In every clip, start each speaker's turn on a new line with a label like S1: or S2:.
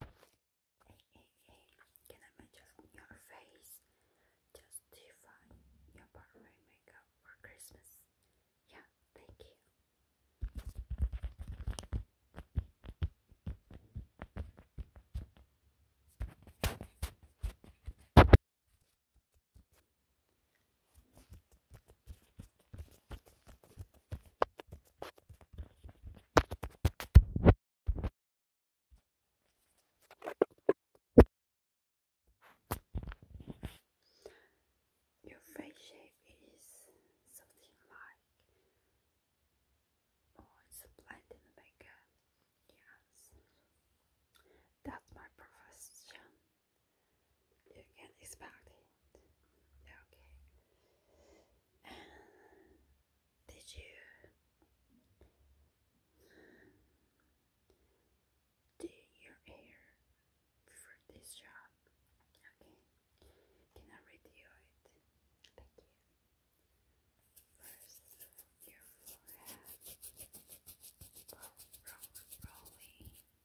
S1: can I measure your face? Justify your Barbie makeup for Christmas. Yeah, thank you. Your face shape is something like, oh, it's a makeup. Yes, that's my profession. You can expect it. Okay. Did you do your hair for this job? Okay. Can I review it? Thank you. First, your forehead. Roll, roll, rolling.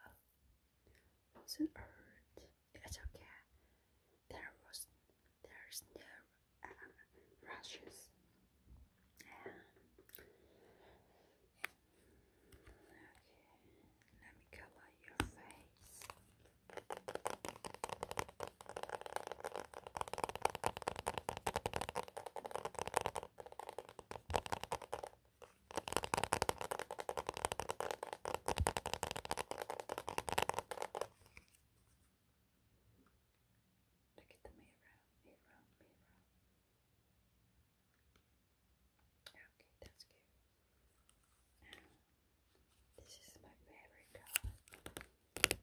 S1: Oh, does It's okay. There was, there's no uh, rushes. okay, let me color your face. Look at the mirror, mirror, mirror. Okay, that's good. this is my favorite color.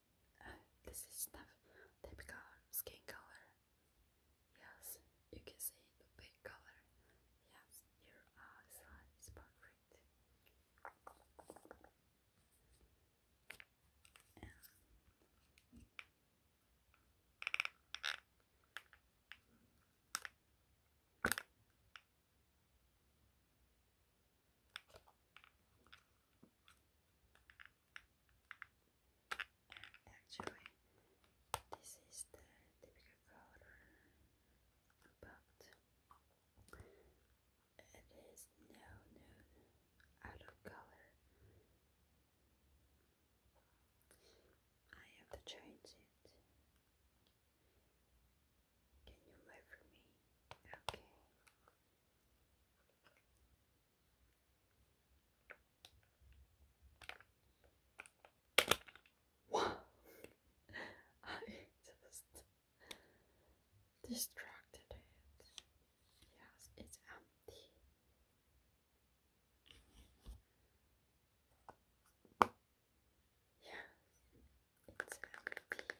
S1: this is the typical skin color. Yes, you can see the pink color. Yes, your eyes is perfect. And actually, this is the typical color, but it is no, no, out of color. I have to change it. Can you wait for me? Okay. I just distracted it. Yes, it's empty. Yes. It's and I'm going to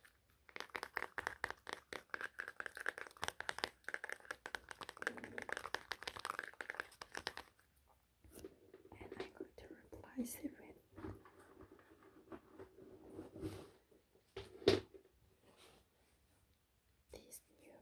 S1: replace it this new one.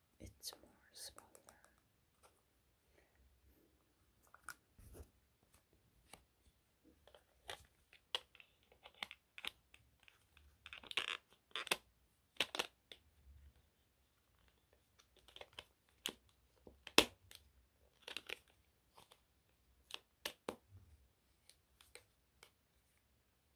S1: it's more smaller.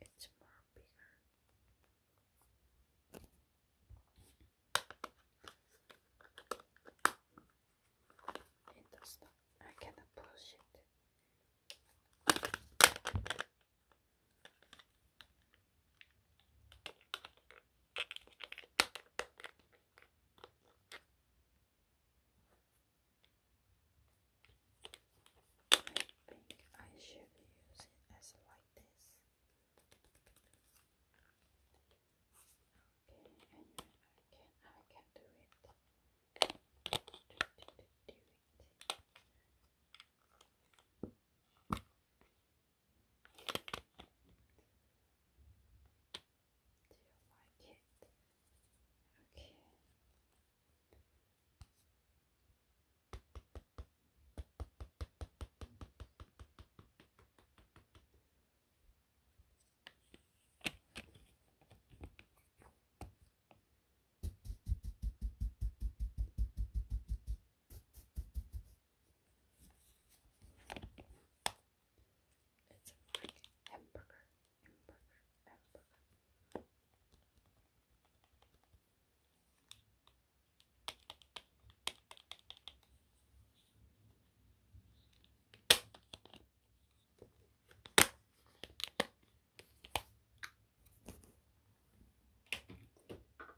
S1: it's more bigger. It does not. I cannot push it think I should use it as like this. Okay, and I can I can do it. Do, do, do, do it. Do you Okay. It's a freaking hamburger, hamburger, hamburger.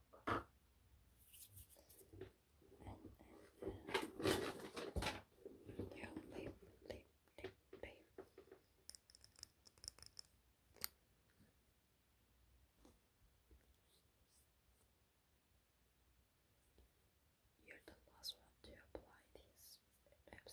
S1: Yeah, You're the last one to apply this lipstick.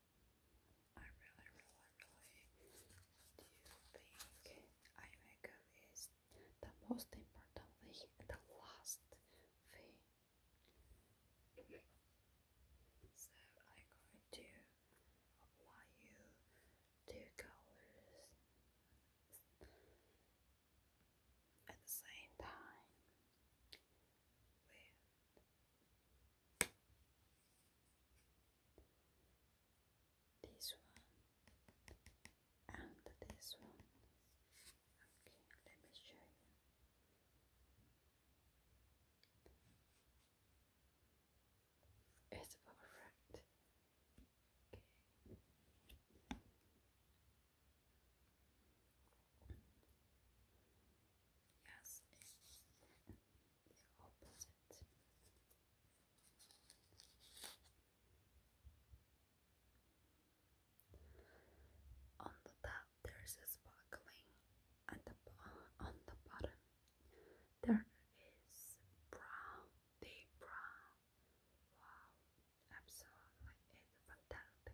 S1: I really, really, really do think eye makeup is the most important the last thing. So I'm going apply you two colors at the same time this one and this one. Okay, let me show you. It's perfect. Okay. Yes, the opposite. On the top there is a sparkling, and uh, on the bottom there is brown, deep brown. Wow, absolutely, fantastic.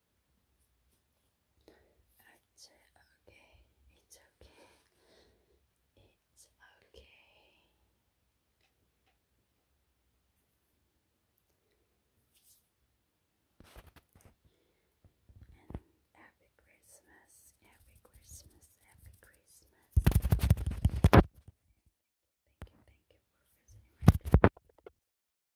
S1: It's okay. It's okay. It's okay. happy Christmas. Happy Christmas. Happy Christmas. thank you, thank you, for visiting